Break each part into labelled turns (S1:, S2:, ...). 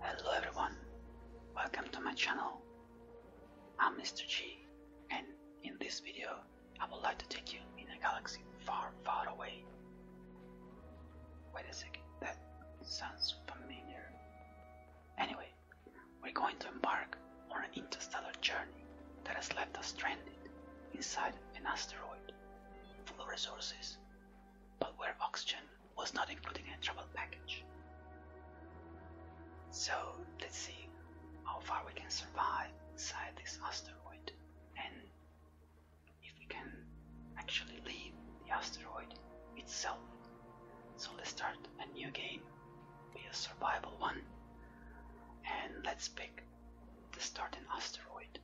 S1: Hello everyone, welcome to my channel. I'm Mr. G and in this video I would like to take you in a galaxy far far away. Wait a second, that sounds familiar. Anyway, we're going to embark on an interstellar journey that has left us stranded inside an asteroid full of resources but where oxygen was not included in a travel package. So let's see how far we can survive inside this asteroid and if we can actually leave the asteroid itself. So let's start a new game, be a survival one, and let's pick the starting asteroid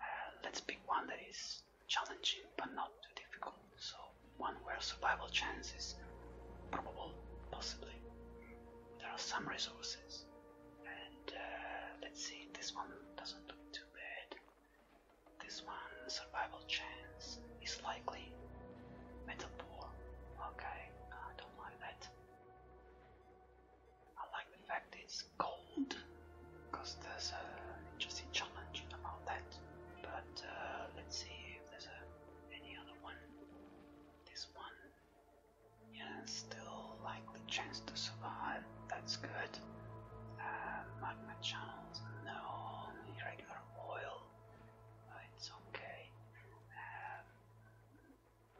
S1: uh, let's pick one that is challenging but not too difficult. So one where survival chance is probable, possibly. There are some resources. And uh, let's see, this one doesn't look too bad. This one, survival chance is likely. Metal poor. Okay, I don't like that. I like the fact it's gold, because there's an interesting challenge about that. But uh, let's see if there's any other one. This one, yeah, still like the chance to survive. That's good. Uh, magma channels, no. Irregular oil, it's okay. Um,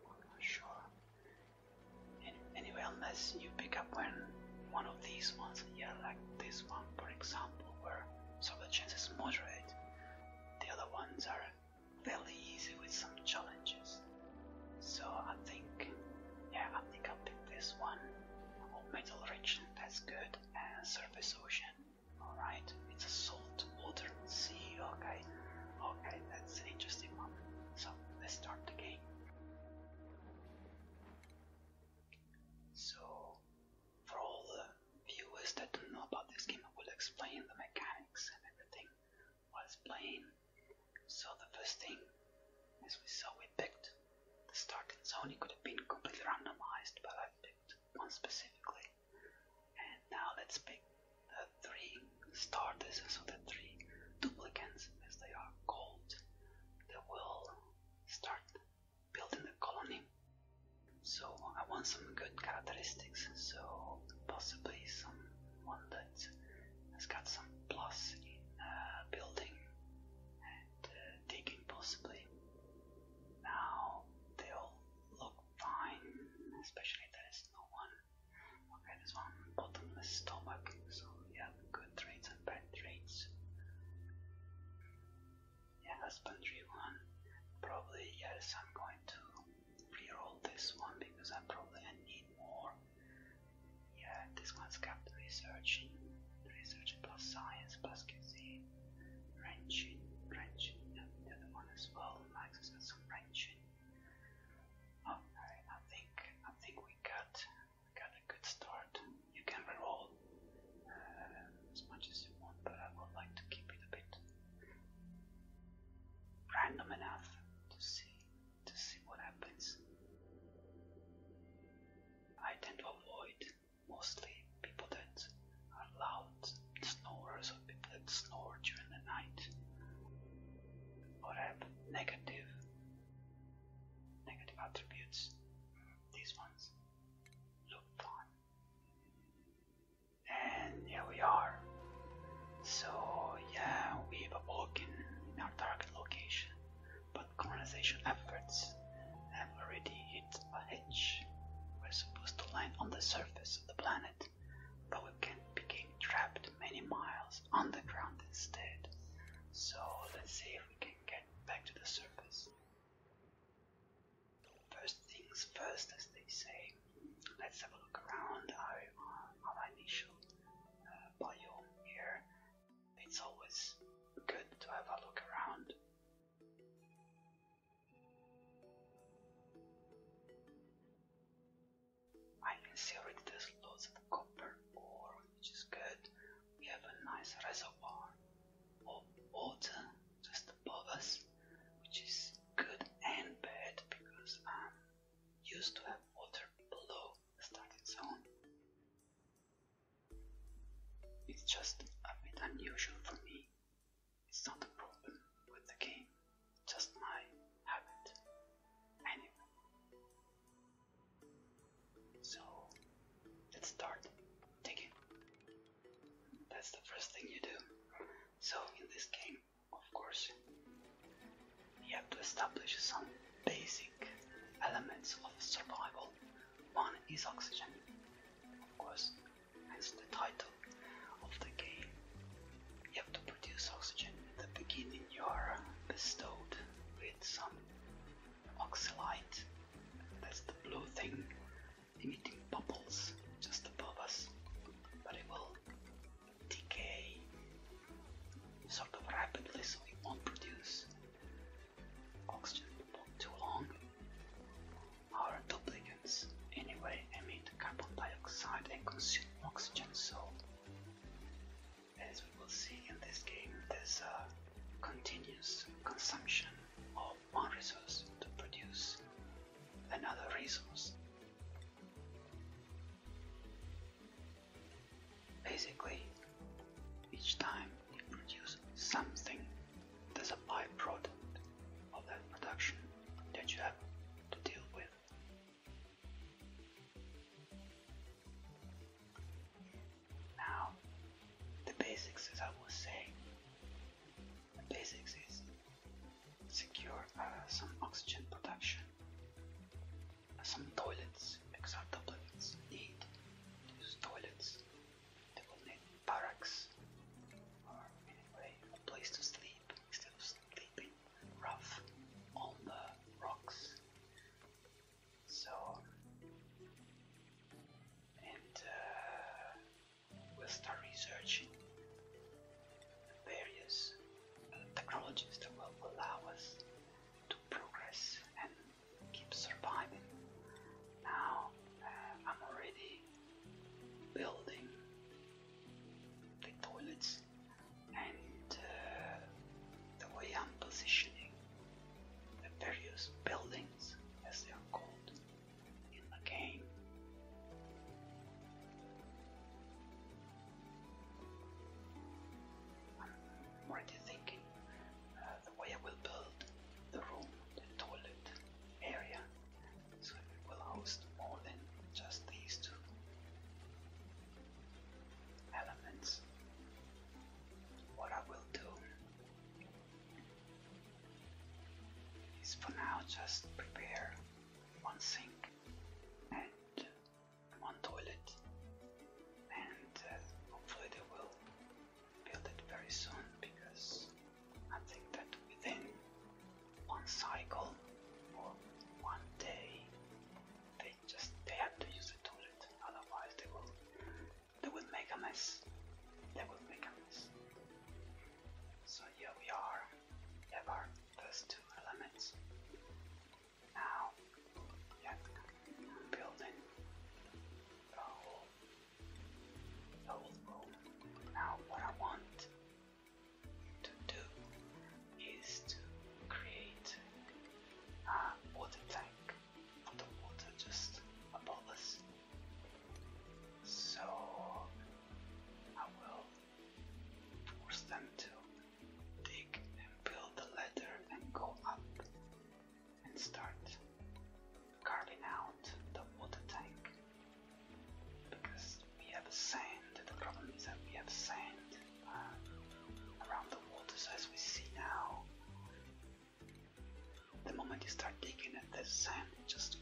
S1: I'm not sure. Anyway, unless you pick up when one of these ones, yeah, like this one, for example, where so the chances moderate, the other ones are fairly easy with some challenges. So I think, yeah, I think i picked this one. Oh, Metal Region, that's good, and Surface Ocean. Alright, it's a salt water sea, okay. Okay, that's an interesting one. So let's start the game. So, for all the viewers that don't know about this game, I will explain the mechanics and everything while it's playing. So, the first thing, as we saw, we picked the starting zone. It could have been completely randomized, but I picked one specifically. And now let's pick the three starters, so the three duplicants, as they are called, they will start building the colony. So I want some good characteristics, so possibly someone that has got some plus in uh, building and uh, digging, possibly. Now they all look fine, especially there is no one Okay, this one bottomless stomach. So we have good traits and bad traits. Yeah, husbandry one. Probably yes, I'm going to reroll this one because I probably need more. Yeah, this one's got researching, research plus science plus QC, wrenching, wrenching, and the other one as well. Max has got some wrenching. Okay, oh, I think I think we got got a good start. You can reroll uh, as much as you want, but I would like to keep it a bit random enough to see to see what happens. I tend to avoid mostly people that are loud snorers or people that snore during the night or have negative negative attributes, these ones, Look on. And here we are. So, yeah, we've awoken in our target location, but colonization efforts have already hit a hitch. We're supposed to land on the surface of the planet, but we can't begin trapped many miles underground instead. So let's see if we can get back to the surface. First things first, as they say, let's have a look around our, our initial uh, biome here. It's always good to have a look around. I can see already there's lots of copper ore, which is good. We have a nice reservoir of water just above us, which is good and bad because I'm used to have water below the starting zone. It's just a bit unusual for me. It's not a problem with the game, just my habit. Anyway, so let's start digging. That's the first thing you do. So in this game, of course, you have to establish some basic elements of survival. One is oxygen, of course, hence the title of the game. You have to produce oxygen at the beginning you are bestowed with some oxalite. That's the blue thing emitting bubbles just above us, but it will decay sort of rapidly so it won't produce oxygen for too long. Our duplicants anyway emit carbon dioxide and consume oxygen, so as we will see in this game, there's a continuous consumption of one resource to produce another resource. Basically, each time you produce something, there's a byproduct of that production that you have to deal with now, the basics, as I will say, the basics is secure uh, some oxygen production, uh, some toilets, because our toilets need these toilets. They will need barracks, or anyway, a place to sleep instead of sleeping rough on the rocks. So, and uh, we'll start researching various uh, technologies that will allow us to progress and keep surviving. Now, uh, I'm already building the toilets and uh, the way I'm positioning the various buildings, as they are called in the game. I'm already thinking uh, the way I will build the room, the toilet area, so it will host more than just these two elements. What I will do is for now just prepare one sink and one toilet and uh, hopefully they will build it very soon because I think that within one cycle or one day they just they had to use the toilet, otherwise they will they will make a mess. They will make a mess. So here we are. We have our first two elements. Now we building the whole the whole room. Now what I want to do is to create a uh, water tank for the water just above us. So I will force them to dig and build the ladder and go up and start carving out the water tank because we have sand. The problem is that we have sand um, around the waters as we see now. The moment you start digging at sand, just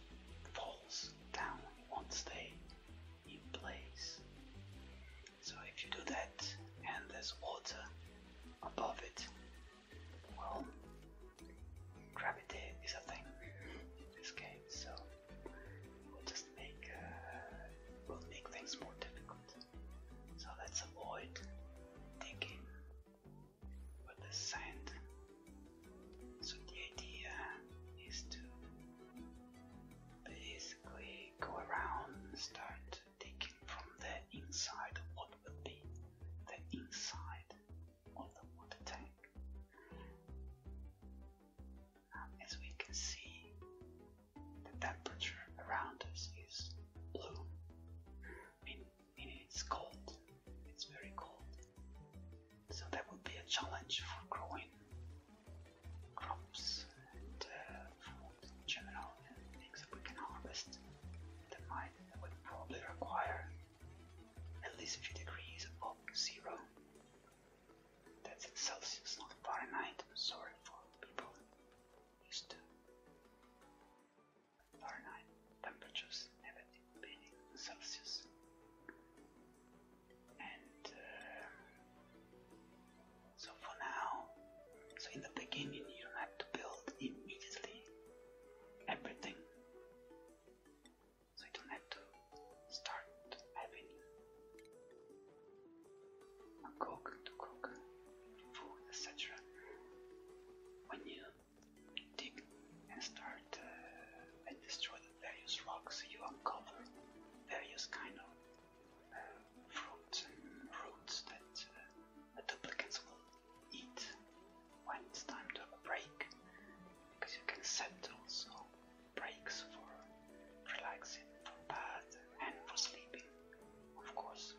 S1: falls down, it won't stay in place. So if you do that and there's water above it, well, gravity is a thing in this game, so we'll just make uh, we'll make things more difficult. So let's avoid digging with the sand. So the idea is to basically go around start digging from the inside of what will be the inside of the water tank. as we can see, the temperature around us is blue, meaning it's cold, it's very cold. So that would be a challenge for growing crops and uh, food in general and things that we can harvest. The might that would probably require at least a few degrees above zero. That's in Celsius, not Fahrenheit. sorry for people is 2. temperatures negative being Celsius. And uh, so for now, so in the beginning you don't have to build immediately everything. So you don't have to start having cook to cook food, etc. When you dig and start uh, and destroy the various rocks, you uncover various kind of uh, fruits and roots that uh, the duplicates will eat when it's time to break, because you can set also breaks for relaxing, for bath, and for sleeping of course.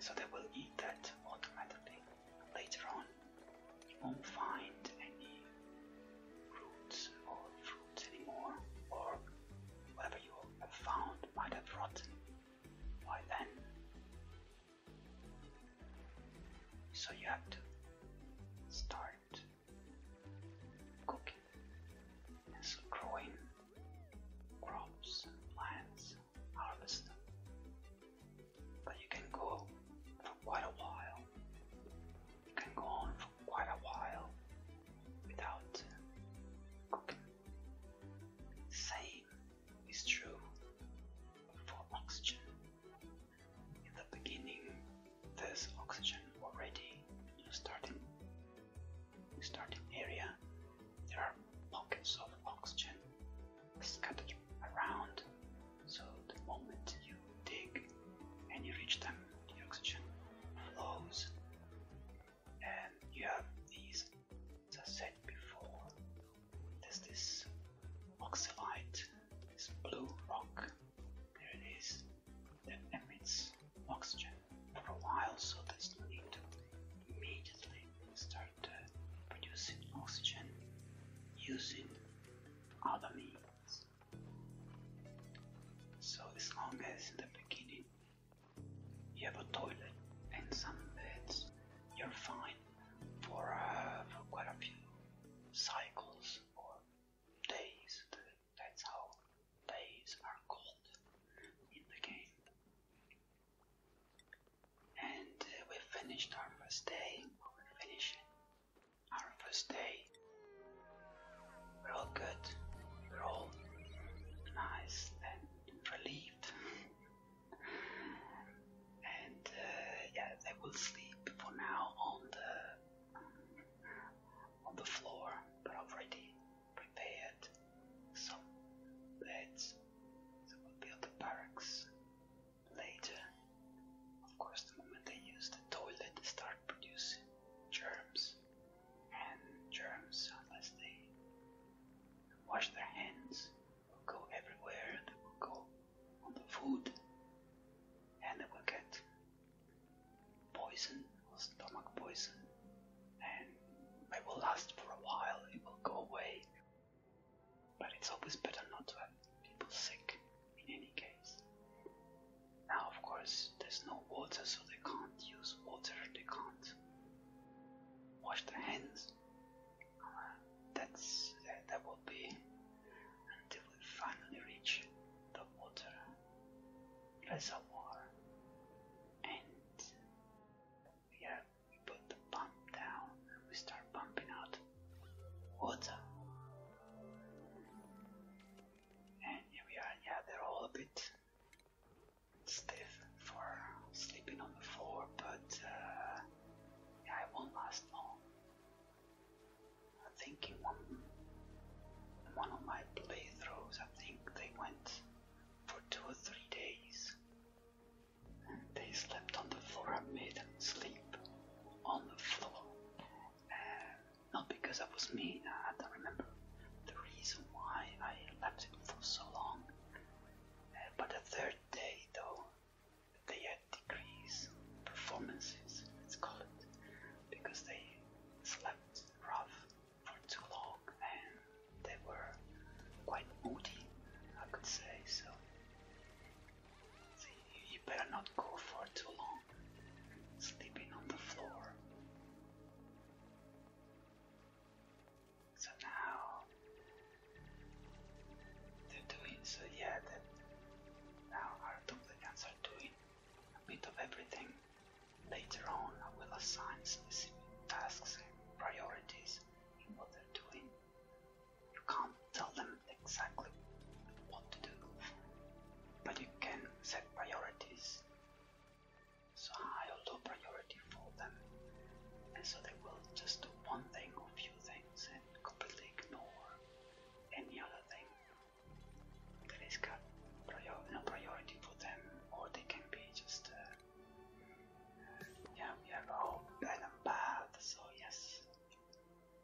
S1: So they will eat that automatically. Later on, you won't find any roots or fruits anymore, or whatever you have found might have rotten by then. So you have to start cooking is growing crops and plants harvest them but you can go for quite a while you can go on for quite a while without cooking same is true for oxygen in the beginning there's oxygen already starting, starting area. There are pockets of oxygen scattered around, so the moment you dig and you reach them, the oxygen flows. And you have these, as I said before, there's this oxalite, this blue rock there it is. That emits oxygen for a while, so there's no need to immediately start uh, producing oxygen using other means. So as long as in the beginning you have a toilet and some beds, you're fine for uh, quite a few cycles or days. That's how days are called in the game. And uh, we finished our first day. We were our first day. We're all good. We're all nice and relieved. and uh, yeah, they will sleep for now on the on the floor, but already prepared some beds that will build the barracks later. Of course, the moment they use the toilet, they start producing germs, and germs, unless they wash their hands, will go everywhere. They will go on the food, and they will get poison or stomach poison, and it will last for a while, it will go away. But it's always better not to have people sick in any case. Now, of course, there's no water, so they can't use water, they can't wash their hands. Uh, that's that, that will be until we finally reach the water reservoir and we, we put the pump down and we start pumping out water. And here we are, yeah, they're all a bit stiff for sleeping on the floor, but uh, yeah, it won't last long. I think in one, of my playthroughs, I think they went for two or three days. And they slept on the floor. I made them sleep on the floor. Uh, not because I was mean, I had to remember the reason why I left him for so long. Uh, but the third day, though, they had decreased performances, let's call it, because they slept rough for too long and they were quite moody, I could say, so you better not go for too long sleeping on the floor. So now they're doing so yeah that now our duplicants are doing a bit of everything Later on, I will assign specific tasks and priorities in what they're doing. You can't tell them exactly what to do, but you can set priorities. So high or low priority for them, and so they will just do one thing or few things and completely ignore any other thing there is no priority for them, or they can be just. Uh, uh, yeah, we have a whole so yes,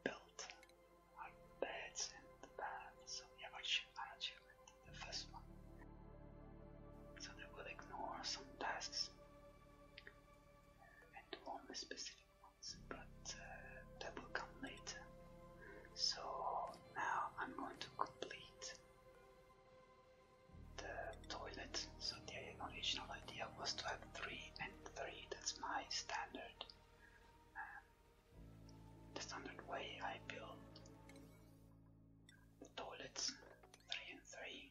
S1: built our beds in the bath, so we have our achievement, the first one. So they will ignore some tasks uh, and do only specific ones, but uh, that will come later. So now I'm going to complete the toilet. So the original idea was to have three and three. That's my standard. Uh, the standard way I build the toilets, three and three,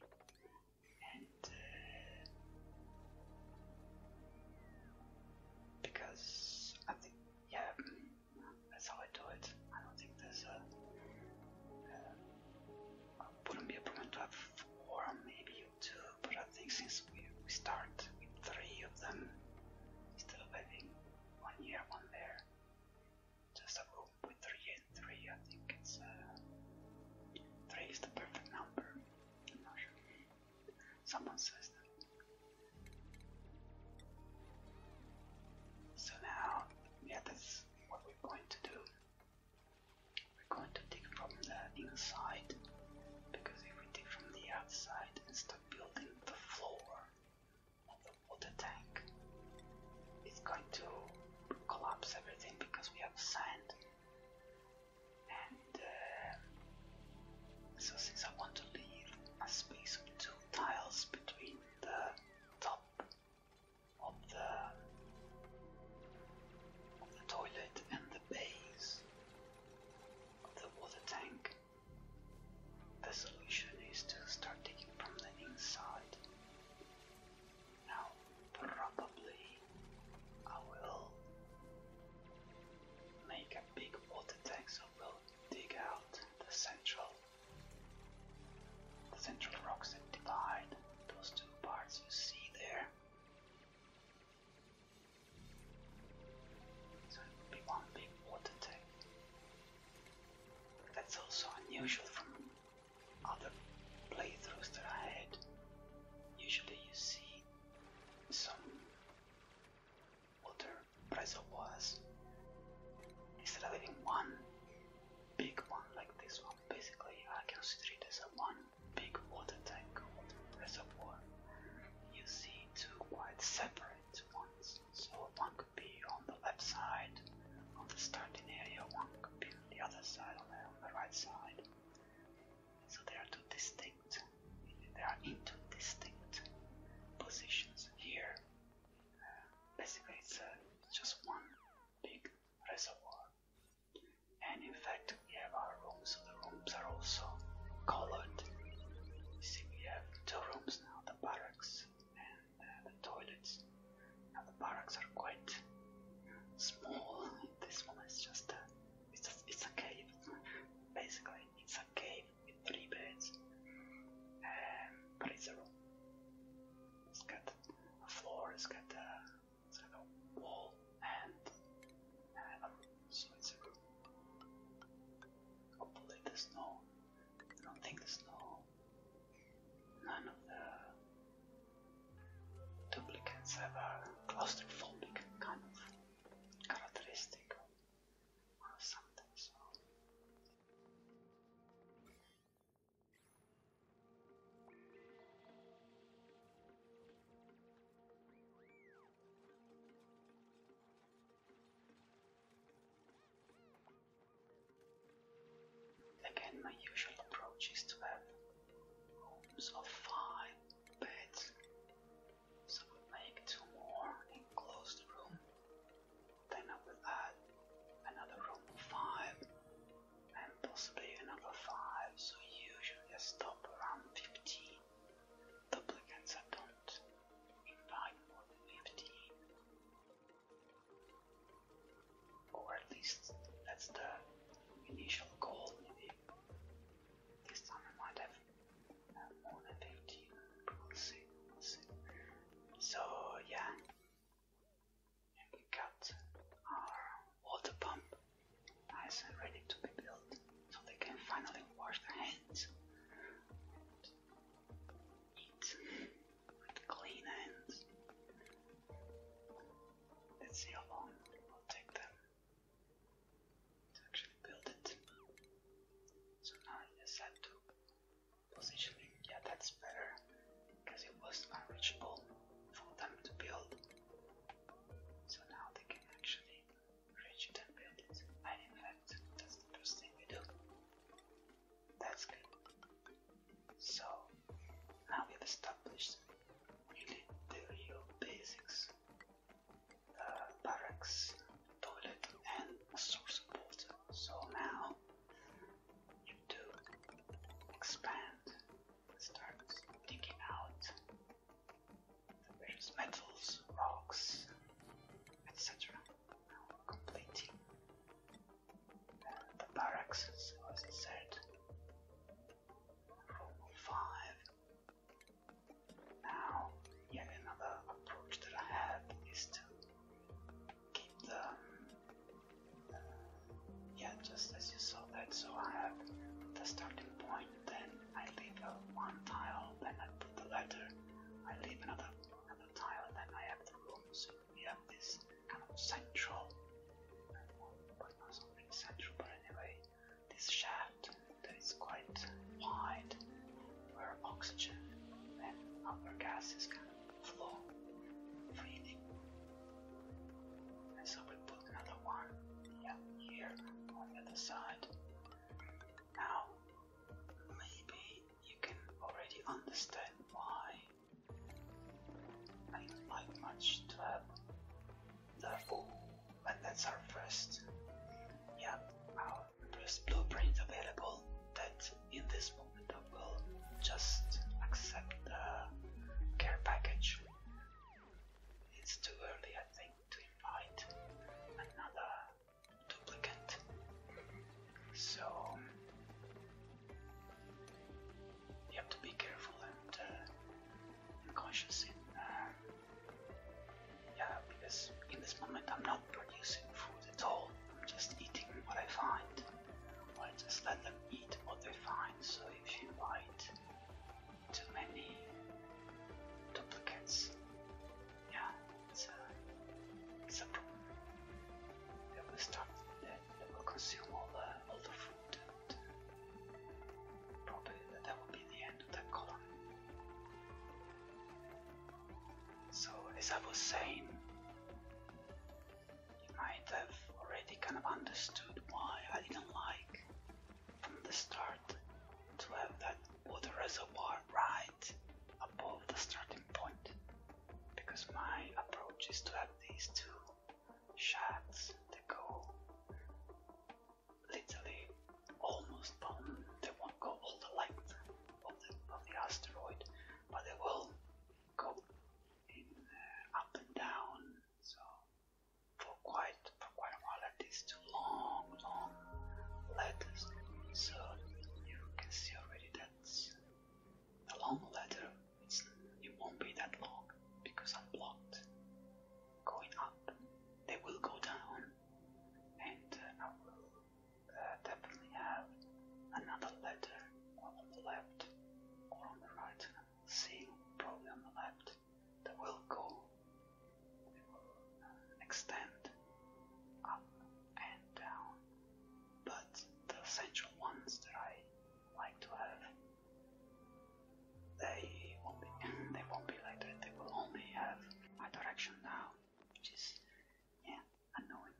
S1: and uh, because I think yeah. That's how I do it. I don't think there's a. Uh, wouldn't be a problem to have four, maybe two, but I think since we, we start with three of them instead of having one here, one there, just a room with three and three, I think it's. Uh, three is the perfect number. I'm not sure. Someone says that so now, yeah, that's what we're going to do. We're going to dig from the inside, because if we dig from the outside and start building the floor of the water tank, it's going to collapse everything because we have sand. And uh, so, since I want to leave a space of two tiles between the top of the toilet and the base of the water tank. The solution is to start digging from the inside. Now, probably I will make a big water tank dig out the central the central rocks that divide those two parts you see there. So it would be one big water tank. That's also unusual from other playthroughs that I had. Usually you see some other pretzel was instead of having one big one like this one basically I consider it as a one big water tank water reservoir you see two quite separate ones so one could be on the left side of the starting area one could be on the other side on the, right side so they are two distinct they are two distinct positions here basically it's, uh, just one big reservoir. And in fact, we have our rooms, the rooms are also colored. You see, we have two rooms now the barracks and uh, the toilets. Now, the barracks are quite small. This one is just a, it's a cave. Basically, it's a cave with three beds, um, but it's a room. It's got a floor, it's got a, it's wall, and uh, a room, so it's a room. Hopefully, there's no. I there's no. None of the duplicates have a claustrophobic kind of characteristic or something so. Again, my usual approach is to have rooms of five beds, so I make two more in room then I will add another room of five and possibly another five, so usually I stop around 15. Duplicants I don't invite more than 15. Or at least that's the initial goal, maybe. This time I might have uh, more than 15. We'll see, we'll see. So yeah, we got our water pump nice and ready to be built, so they can finally wash their hands, eat with clean hands. Let's see how long it will take them to actually build it. So now I just have Positioning, yeah, that's better because it was unreachable for them to build. So now they can actually reach it and build it. And in fact, that's the first thing we do. That's good. So now we've established really the real basics. Uh, barracks toilet and a source of water. So now you do expand, start digging out the various metals, rocks, etc. Now completing uh, the barracks, was as said, room 5. Now, yet another approach that I have is to keep the uh, yeah, just as you saw that. So I have the starting point, then I leave a one tile, then I put the letter. I leave another another tile, then I have the room. So we have this kind of central, but not something central, but anyway, this shaft that is quite wide, where oxygen and other gases can flow freely. And so we put another one here on the other side. Now, maybe you can already understand why I do much to have the food, but that's our first. Yeah, our there's blueprints available that in this moment I will just accept the care package. It's too early I think to invite another duplicate. So you have to be careful and, uh, conscious in uh, yeah because in this moment I'm not producing food at all, I'm just eating what I find. I just let them eat what they find, so if you bite too many duplicates, yeah, it's a, it's a problem. They will start, they, they will consume all the, all the food, and probably that will be the end of that colony. So, as I was saying, you might have already kind of understood why I didn't like from the start to have that water reservoir right above the starting point because my approach is to have these two shots that go literally almost bound, they won't go all the length of the, of the asteroid but they will go uh, up and down. So for quite for quite a while, like this, long, long letters. So you can see already that the long letter it won't be that long because I'm blocked going up. They will go down, and uh, I will uh, definitely have another letter on the left or on the right. See, probably on the left, that will go, it uh, will extend up and down. But the essential ones that I like to have, they will be, they won't be like that. They will only have a direction now, which is yeah, unknown.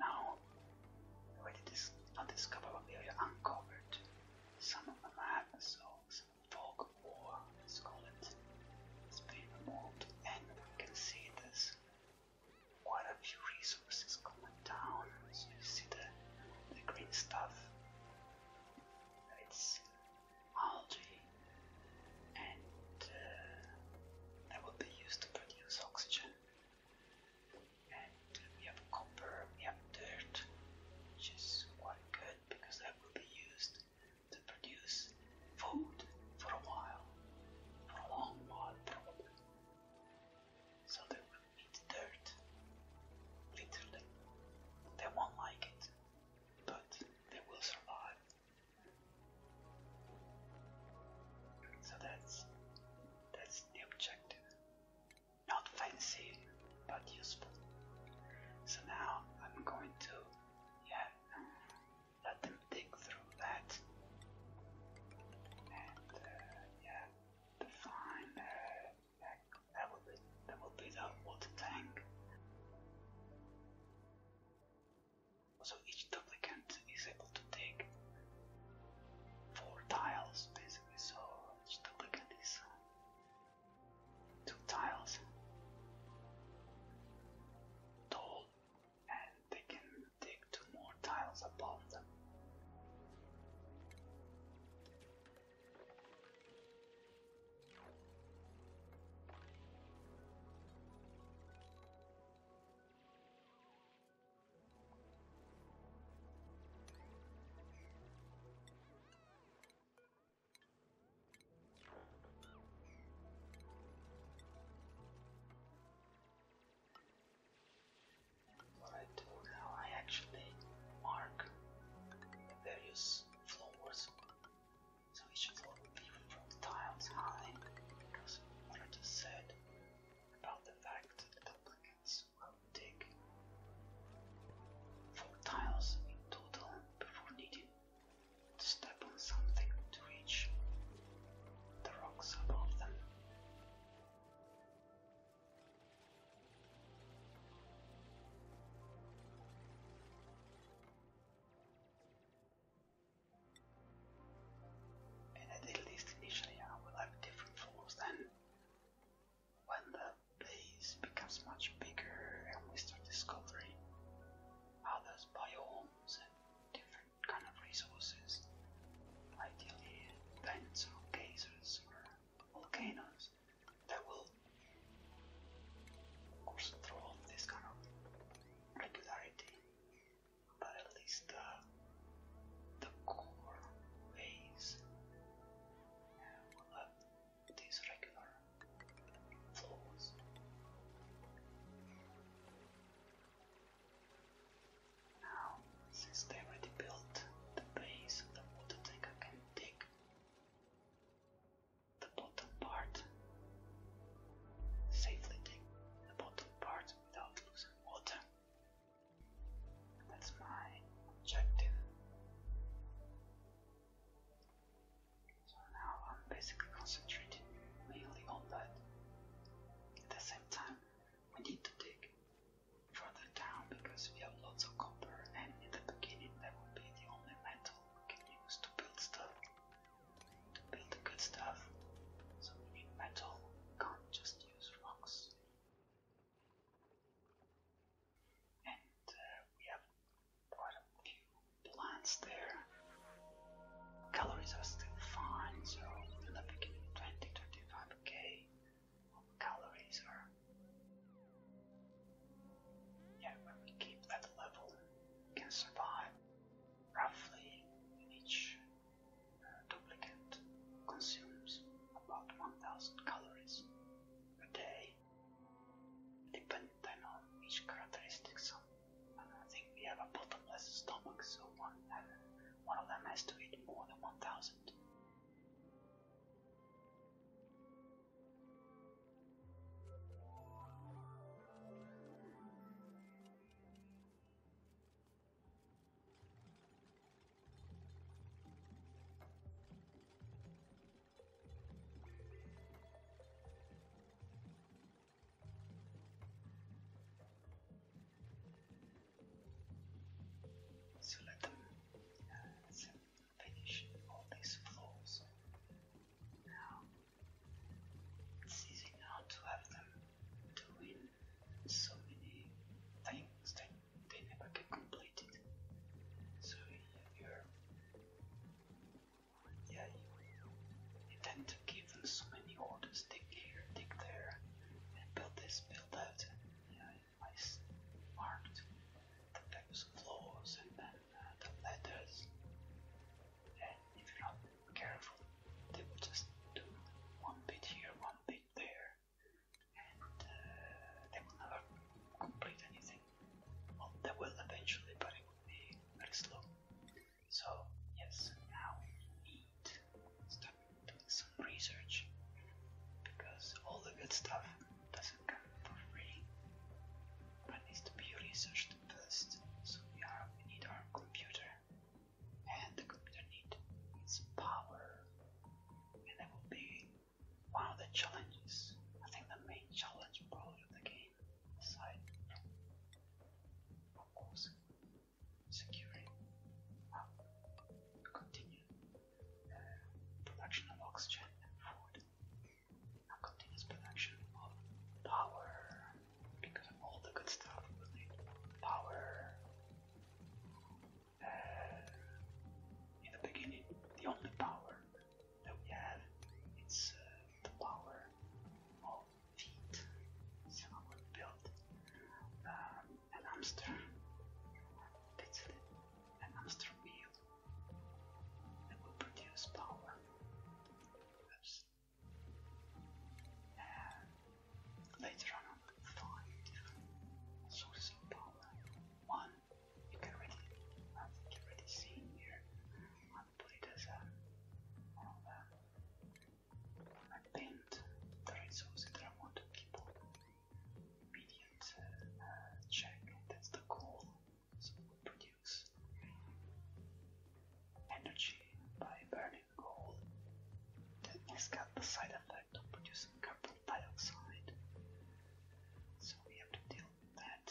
S1: Now, we did dis discover but we uncovered some of the map, so some fog war, it. has been removed and we can see this quite a few resources coming down. So you see the, the green stuff. It's algae, and uh, that will be used to produce oxygen. And we have copper, we have dirt, which is quite good because that will be used to produce food for a while, for a long while so they will eat dirt, literally. They won't like it, but they will survive. So that's that's the objective. Not fancy, but useful. So now I'm going to, yeah, let them dig through that and uh, yeah define uh, that, that will be that the tank so each duplicate is able to take four tiles basically so each duplicate is uh, two tiles tall and they can take two more tiles above them. What I do now, I actually mark various floors. So each floor will be from tiles high, because what I just said about the fact that duplicates will take four tiles in total before needing to step on something to reach the rocks above them. And at least initially will have different floors then when the place becomes much bigger and we start discovering others biomes and different kind of resources. Ideally, vents or geysers or volcanoes that will, of course, this kind of regularity. But at least uh, the core ways uh, these regular flows. Now, since they already built the base the water tank, can dig the bottom part, safely dig the bottom part without losing water. That's my objective. So now I'm basically concentrating mainly on that. At the same time, we need to dig further down because we have lots of copper, and in the beginning, that would be the only metal we can use to build stuff. To build the good stuff, so we need metal, we can't just use rocks. And uh, we have quite a few plants there calories are still fine, so in the beginning 20 35k calories are yeah, when we keep that level, we can survive roughly each uh, duplicate consumes about 1000 calories a day, depending on each characteristics. I think we have a bottomless stomach, so one, one of them has to eat more than 1,000. So let them uh, finish all these floors. Now it's easy now to have them doing so many things that they never get completed. So yeah, you're yeah you he tend to give them so many orders, dig here, dig there, and build this, build that, and yeah, I marked the pebbles floors and then uh, the letters. And if you're not careful, they will just do one bit here, one bit there, and uh, they will never complete anything. Well, they will eventually, but it will be very slow. So, yes, now we need to start doing some research because all the good stuff doesn't come for free but needs to be researched first. So, we, are, we need our computer, and the computer needs its power, and that will be one of the challenges. I think the main challenge probably of the game, aside of course, securing uh, continued production of oxygen and food, and continuous production of power because of all the good stuff we will power. Uh, in the beginning, the only power that we have is uh, the power of feet, would build uh, an hamster. That's an hamster wheel that will produce power. Oops. And uh, later on, I sources of power. One you can already, I think you already see here. I'll put it and the resources that I want to keep on. Immediate uh, check, that's the coal. So we produce energy by burning coal. That has got the side effect of producing carbon dioxide. So we have to deal with that.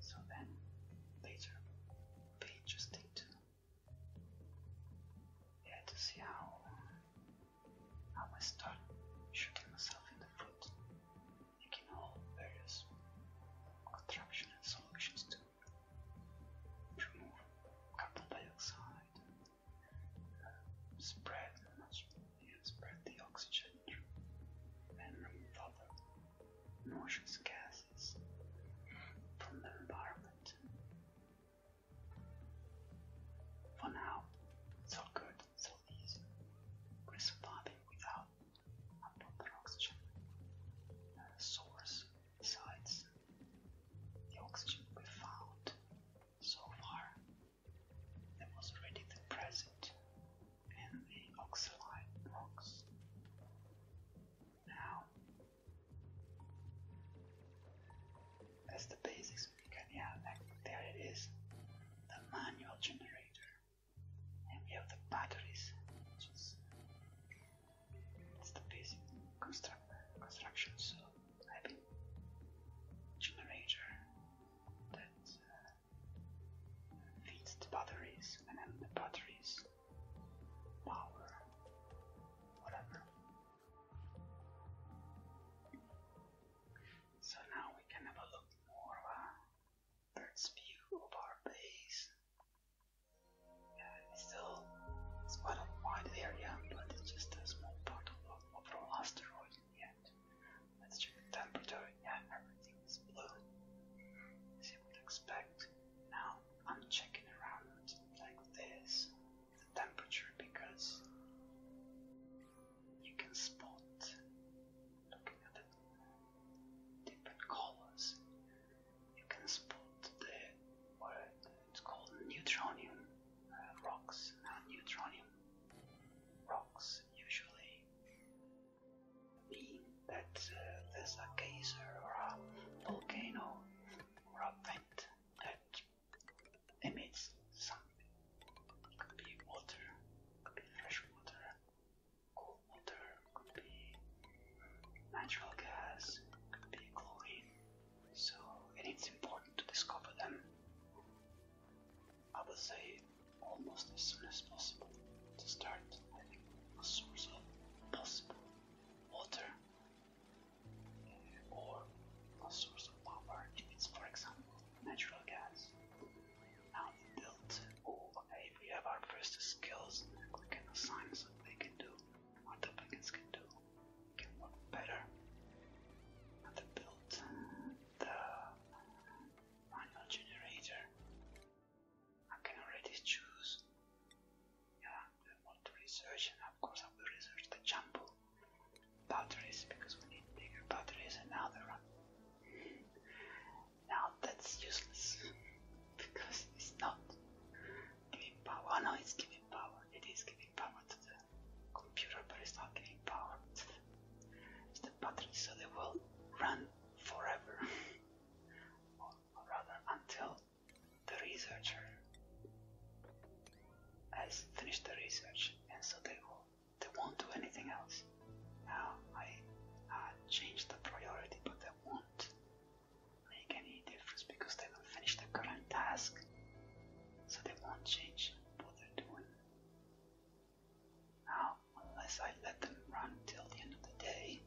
S1: So then later will be interesting to yeah to see how how I start shooting myself in the foot, making all various contraption and solutions to remove carbon dioxide, uh, spread, yeah, spread the oxygen, and remove other noxious gases from the environment. For now, so good, so easy. we without a proper oxygen source. Besides, the oxygen we found so far that was already present in the oxalide box. Now, that's the basics of Picanha. Like, there it is, the manual generator, and we have the batteries, which is the basic construction. So, I generator feeds the batteries, and then the batteries power whatever. So now we can have a look more of a bird's view of our base. Yeah, it's still it's quite a wide area, but it's just a small part of the overall asteroid. Yet, let's check the temperature. Yeah, everything it's As you would expect. Now I'm checking around like this the temperature because you can spot looking at the different colors. You can spot the what it's called neutronium uh, rocks. Now neutronium rocks usually being uh, that there's a geyser or a volcano or a vent that emits something. It Could be water, could be fresh water, cold water, could be natural gas, could be chlorine. So, it's important to discover them. I would say almost as soon as possible to start, I a source of possible water or a source of power if it's, for example, natural gas. Now we built all hey, we have our first skills we can assign what they can do, what the plugins can do, can work better. And then build the manual generator I can already choose. Yeah, we want to research, and of course I will research the jumbo batteries because we need bigger batteries and now they run. Now that's useless because it's not giving power. Oh, no, it's giving power. It is giving power to the computer, but it's not giving power It's the, batteries, so they will run forever. or rather until the researcher has finished the research, and so they will they won't do anything else. Now I change the priority, but they won't make any difference because they will finish the current task, so they won't change what they're doing. Now unless I let them run till the end of the day.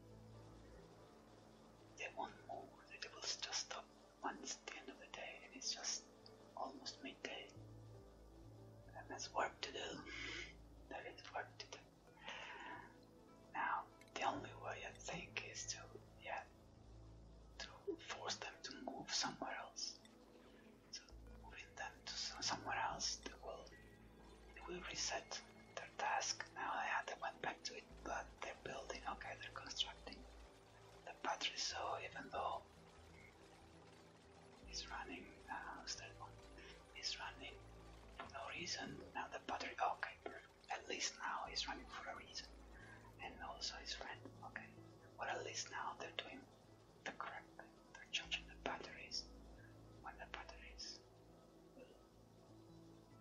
S1: They won't move, they will just stop once the end of the day, and it's just almost midday. And there's work to do. There is work to do. Now, the only way I think is to, yeah, to force them to move somewhere else. So, moving them to somewhere else, they will it will reset their task. Now they had them went back to it, but they're building. Okay, they're constructing the battery. So even though it's running, uh, what's that one? It's running for no reason. Now the battery. Okay, at least now it's running for a reason, and also his friend. Okay, but at least now they're doing the correct They're charging the batteries when the batteries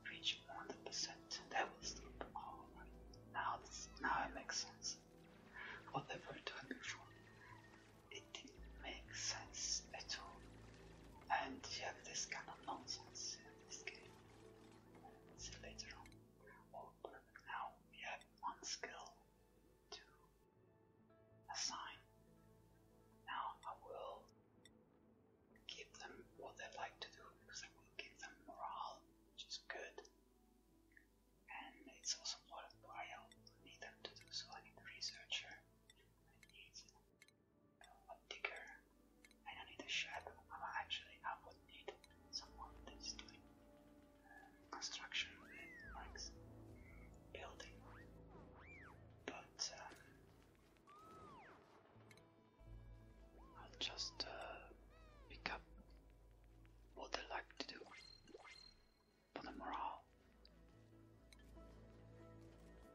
S1: Reach 100%. That was alright. Now this now it makes sense. Whatever I done before, it didn't make sense at all. And you have this kind of nonsense in this game. See later on. Oh, perfect. Now we have one skill to assign. Now I will give them what they like to do because it will give them morale, which is good. And it's also worthwhile. I need them to do so. I need a researcher. I need a digger. I don't need a shadow. Actually, I would need someone that is doing um, construction, likes building. But um, i just uh, pick up what they like to do for the morale.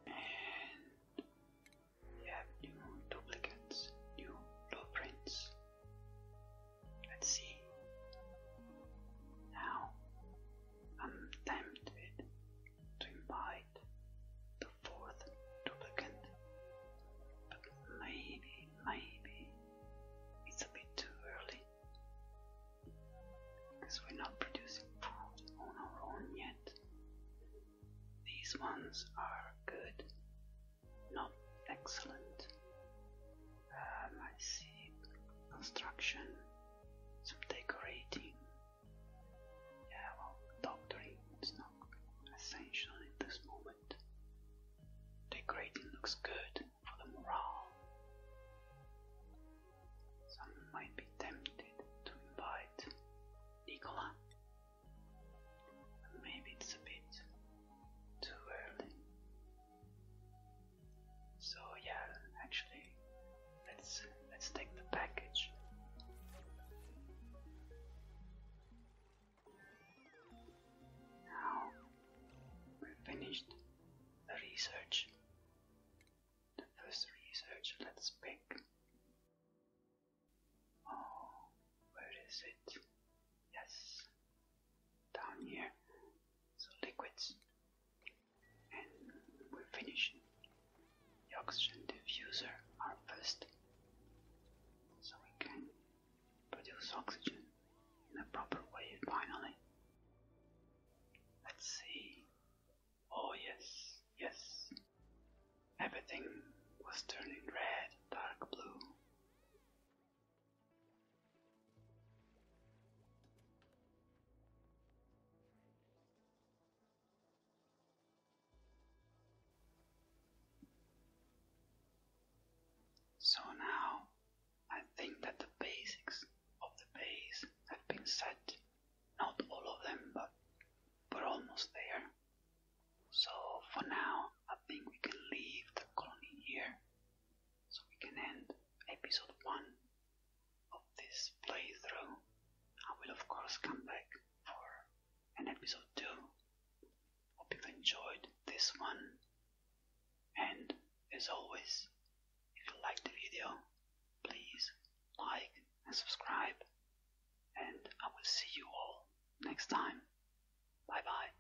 S1: And we have new duplicates, new blueprints. Let's see. Now I'm tempted to invite the fourth duplicate. But maybe, maybe it's a bit too early because we're not producing food on our own yet. These ones are good, not excellent. Um, I see construction, some decorating, yeah, well, doctoring is not essential at this moment. The grading looks good for the morale. Some might be tempted to invite Nicola. Maybe it's a bit too early. So, yeah, actually, Let's let's take the package. Now we finished the research. The first research. Let's pick. Oh, where is it? Yes, down here. So liquids and we're finished. The oxygen diffuser are first, so we can produce oxygen in a proper way finally. Let's see. Oh yes, yes. Everything was turning red, dark blue. So now I think that the basics of the base have been set, not all of them, but we're almost there. So for now, I think we can leave the colony here so we can end episode 1 of this playthrough, I will of course come back for an episode 2. Hope you've enjoyed this one. And as always, if you liked the video, please like and subscribe. And I will see you all next time. Bye bye.